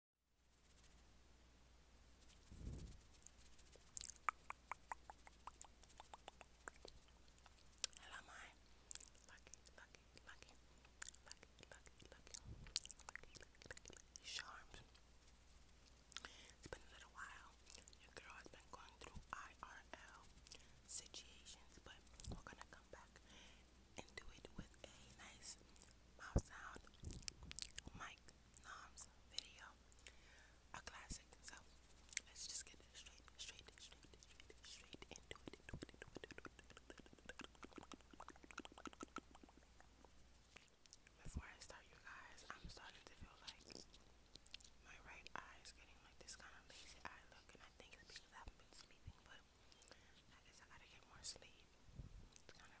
And am I lucky, lucky, lucky, lucky, lucky, lucky, lucky, lucky, lucky, lucky, sharp? It's been a little while. Your girl has been going through IRL situations, but we're gonna come back and do it with a nice Mouth Sound Mike Nom's video. A classic. So let's just get straight, straight, straight, straight, straight into Before I start you guys, I'm starting to feel like my right eye is getting like this kind of lazy eye look and I think it's because I have been sleeping but I guess I gotta get more sleep. It's kind of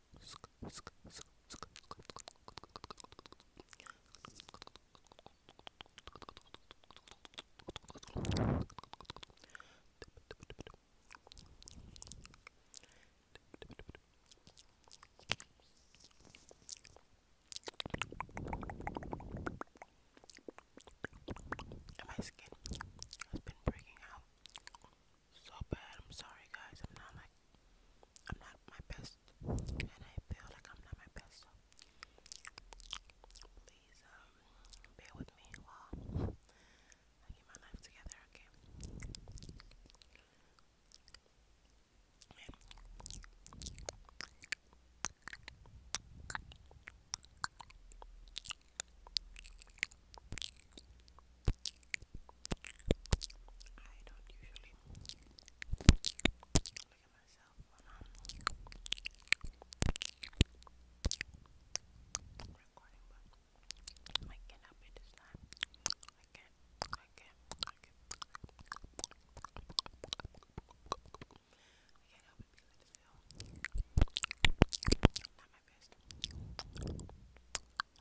And my skin has been breaking out so bad. I'm sorry, guys. I'm not like I'm not my best, and I feel like I'm not my best. So please, um, bear with me while I get my life together. Okay. I don't usually look at myself when I'm recording, but I cannot be this time. I can't, I can't, I can't. I can't help it because I just feel not my best. I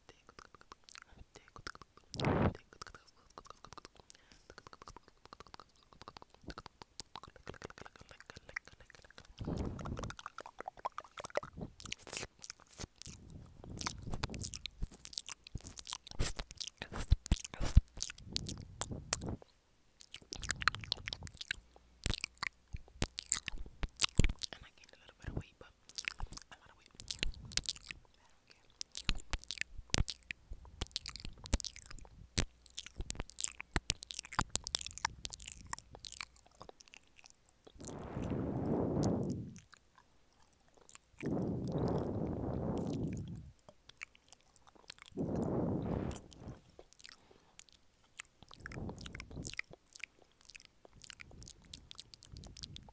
And I gained a little bit of weight weight, but a lot of weight. I don't care.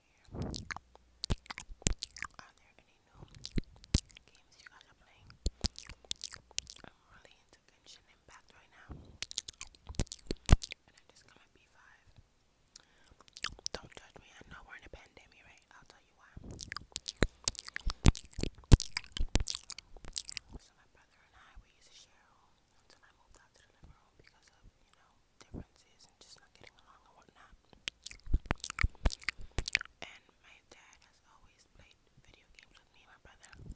here. Are there any new games you guys are playing? I'm really into Genshin Impact right now. And I just got my 5 Don't judge me, I know we're in a pandemic, right? I'll tell you why. So my brother and I, we used to share a until I moved out to the living because of, you know, differences and just not getting along and whatnot. And my dad has always played video games with me and my brother when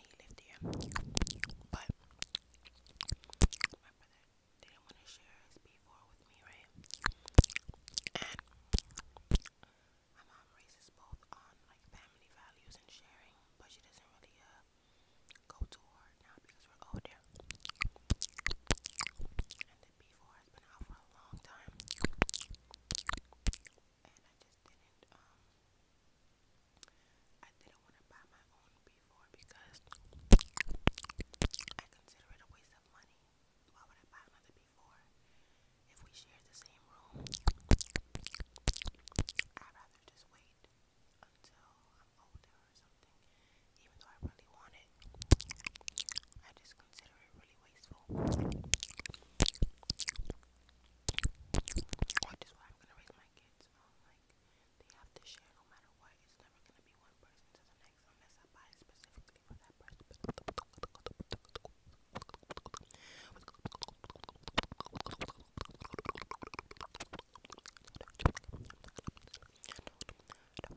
he lived here. But my brother didn't want to share his P4 with me, right? And my mom raises both on like family values and sharing, but she doesn't really uh go too hard now because we're older. And the B4 has been out for a long time. And I just didn't, um, I didn't want to buy my own B4 because I consider it a waste of money. Why would I buy another B4 if we share the same room? I'd rather just wait until I'm why I'm gonna raise my kids like they have to share no matter what. It's never gonna be one person to the next unless I buy specifically for that person. But yeah,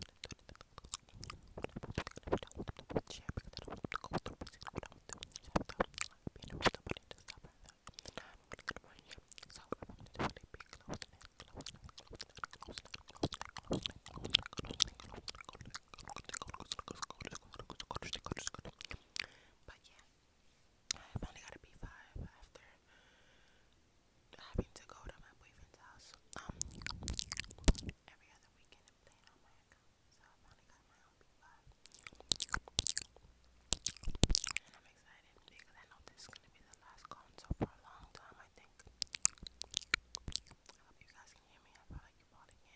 I finally got a B5 after having to go to my boyfriend's house um, every other weekend So I finally got my own p And I'm excited because I know this is gonna be the last console for a long time I think. I you guys can hear me. I feel like you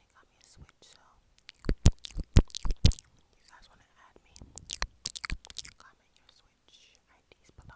recently got me a Switch, so if you guys want to add me, comment your Switch IDs below.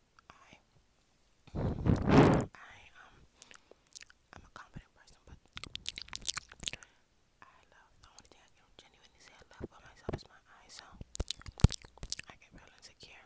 I, I um, I'm a confident person, but I love the only thing I can genuinely say I love about myself is my eyes. So I get real insecure.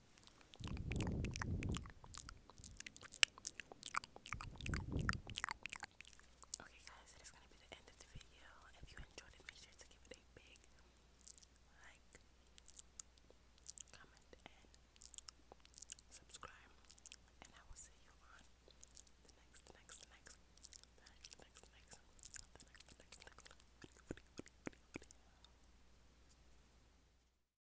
Okay, guys, that is gonna be the end of the video. If you enjoyed it, make sure to give it a big like, comment, and subscribe. And I will see you on the next, the next, the next, the next, the next, the next, the next, the next, the next.